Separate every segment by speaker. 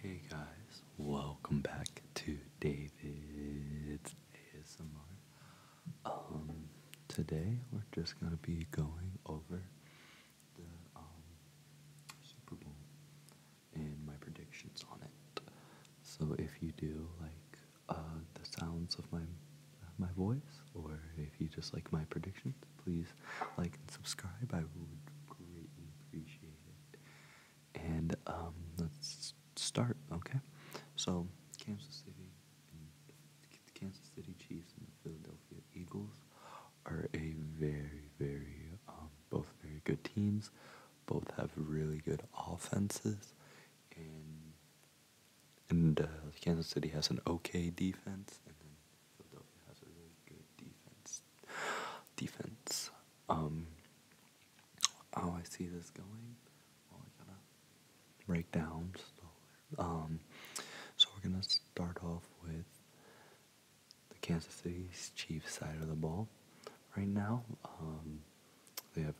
Speaker 1: Hey guys, welcome back to David's ASMR. Um, today we're just gonna be going over the um, Super Bowl and my predictions on it. So if you do like uh, the sounds of my my voice, or if you just like my predictions, please like and subscribe. I would greatly appreciate it. And um, let's start, okay? So, Kansas City and Kansas City Chiefs and the Philadelphia Eagles are a very, very, um, both very good teams. Both have really good offenses, and and uh, Kansas City has an okay defense, defense. Defense. Um, how I see this going, well, um, so we're gonna start off with the Kansas City Chiefs side of the ball. Right now, um, they have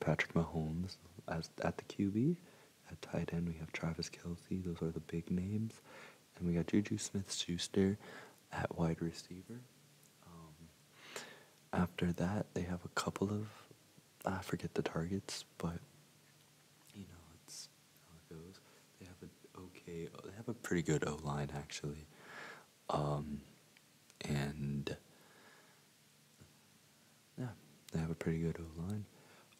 Speaker 1: Patrick Mahomes as at the QB, at tight end, we have Travis Kelsey. Those are the big names. And we got Juju Smith Schuster at wide receiver. Um, after that, they have a couple of, I forget the targets, but you know, it's how it goes. They have an okay, they have a pretty good O line actually. Um, and yeah, they have a pretty good line.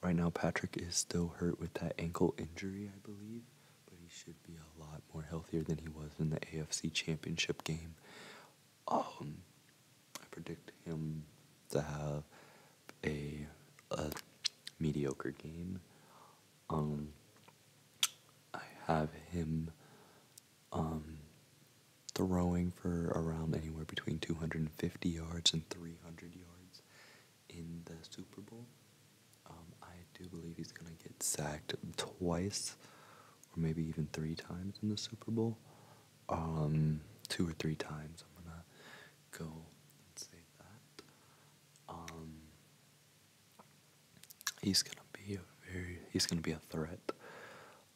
Speaker 1: Right now, Patrick is still hurt with that ankle injury, I believe, but he should be a lot more healthier than he was in the AFC Championship game. Um, I predict him to have a, a mediocre game. Um, I have him um, throwing for around anywhere between 250 yards and 300 yards in the Super Bowl. Um, I do believe he's going to get sacked twice or maybe even three times in the Super Bowl. Um, two or three times. I'm going to go and say that. Um, he's going to be a very, he's going to be a threat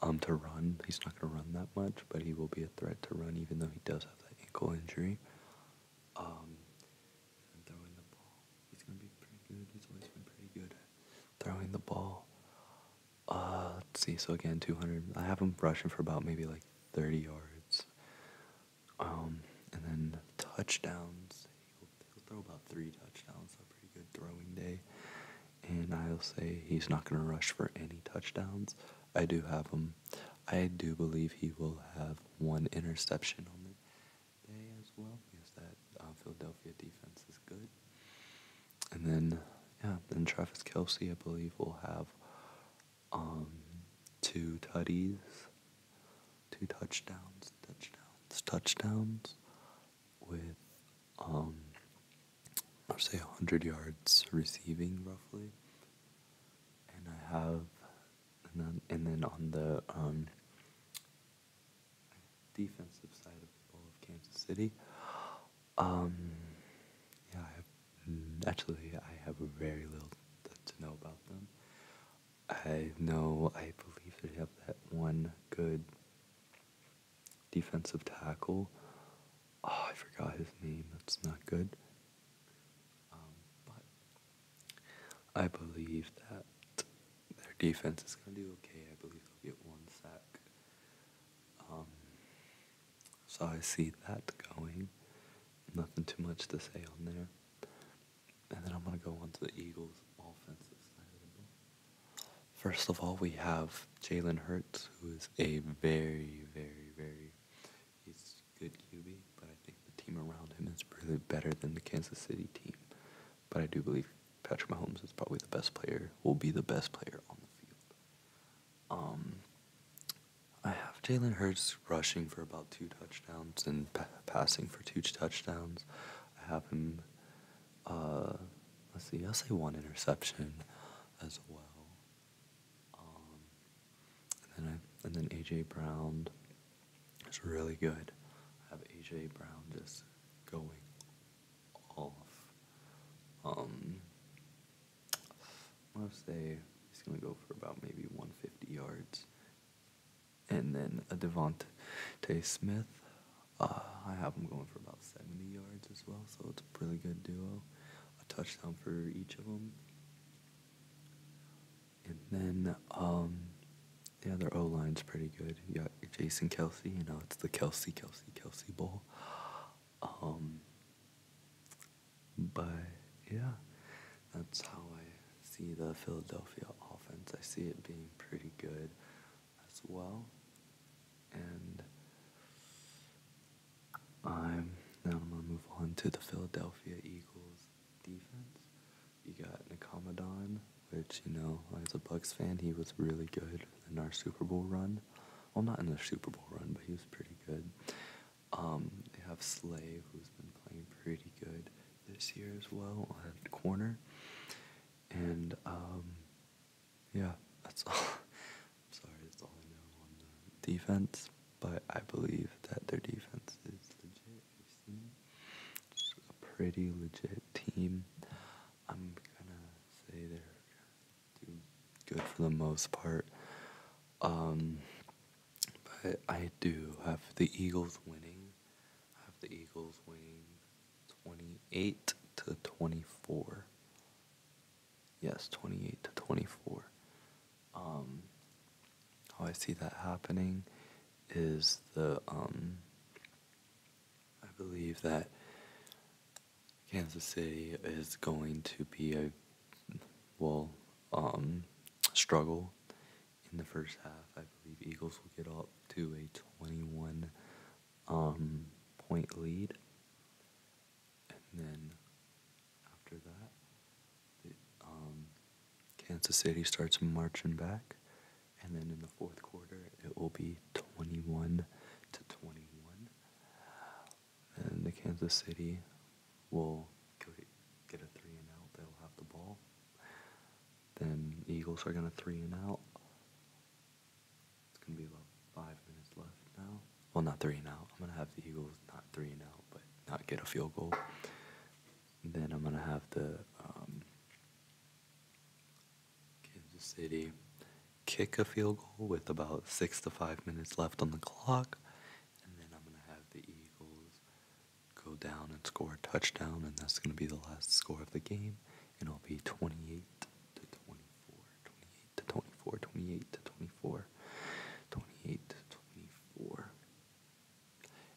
Speaker 1: um, to run. He's not going to run that much, but he will be a threat to run, even though he does have that ankle injury. Um, throwing the ball, uh, see. So again, 200. I have him rushing for about maybe like 30 yards. Um, and then touchdowns. He'll, throw about three touchdowns. A pretty good throwing day and I'll say he's not going to rush for any touchdowns. I do have him. I do believe he will have one interception on the day as well because that uh, Philadelphia defense is good. And then, yeah, then Travis Kelsey, I believe, will have um, two tutties, two touchdowns, touchdowns, touchdowns with, um, I'll say 100 yards receiving roughly. And I have, and then, and then on the um, defensive side of Kansas City, um, yeah, I have, mm, actually, I have very little to know about them. I know, I believe they have that one good defensive tackle. Oh, I forgot his name. That's not good. Um, I believe that their defense is going to do okay. I believe they'll get one sack. Um, so I see that going. Nothing too much to say on there. And then I'm going to go on to the Eagles' offensive side of the ball. First of all, we have Jalen Hurts, who is a very, very, very good QB, but I think the team around him is really better than the Kansas City team. But I do believe Patrick Mahomes is probably the best player, will be the best player on the field. Um, I have Jalen Hurts rushing for about two touchdowns and passing for two touchdowns. I have him. Uh, let's see. I'll say one interception as well. Um, and then I, and then AJ Brown is really good. I have AJ Brown just going off. Um, I'll say he's gonna go for about maybe 150 yards and then a Devonte Smith. Uh, I have him going for about 70 yards as well, so it's a really good duo. A touchdown for each of them. And then, um, yeah, their O line's pretty good. You got Jason Kelsey, you know, it's the Kelsey, Kelsey, Kelsey Bowl. But yeah, that's how I see the Philadelphia offense. I see it being pretty good as well. And I'm now I'm gonna move on to the Philadelphia Eagles defense. You got Nicomadon, which you know, as a Bucks fan, he was really good in our Super Bowl run. Well, not in the Super Bowl run, but he was pretty good. Um, they have Slay, who's been playing pretty good this year as well on corner. And um, yeah, that's all. I'm sorry, that's all I know on the defense. But I believe that their defense is a pretty legit team. I'm gonna say they're good for the most part. Um, but I do have the Eagles winning. I have the Eagles winning 28 to 24. Yes, 28 to 24. Um, how I see that happening is the um, I believe that Kansas City is going to be a well um, struggle in the first half. I believe Eagles will get up to a 21 um, point lead, and then after that, um, Kansas City starts marching back, and then in the fourth quarter, it will be 21 to 21 and the Kansas City will get a three and out. They'll have the ball. Then Eagles are gonna three and out. It's gonna be about five minutes left now. Well, not three and out. I'm gonna have the Eagles not three and out, but not get a field goal. then I'm gonna have the um, Kansas City kick a field goal with about six to five minutes left on the clock. And then I'm going to have the Eagles go down and score a touchdown. And that's going to be the last score of the game. And it'll be 28 to 24, 28 to 24, 28 to 24, 28 to 24.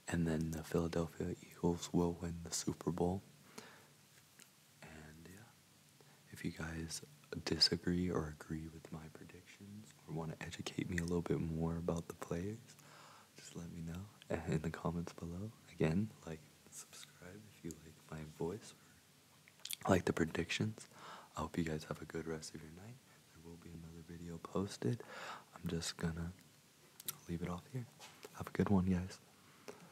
Speaker 1: And then the Philadelphia Eagles will win the Super Bowl. And yeah, if you guys disagree or agree with my predictions or want to educate me a little bit more about the plays, just let me know in the comments below. Again, like subscribe if you like my voice or like the predictions. I hope you guys have a good rest of your night. There will be another video posted. I'm just gonna leave it off here. Have a good one, guys.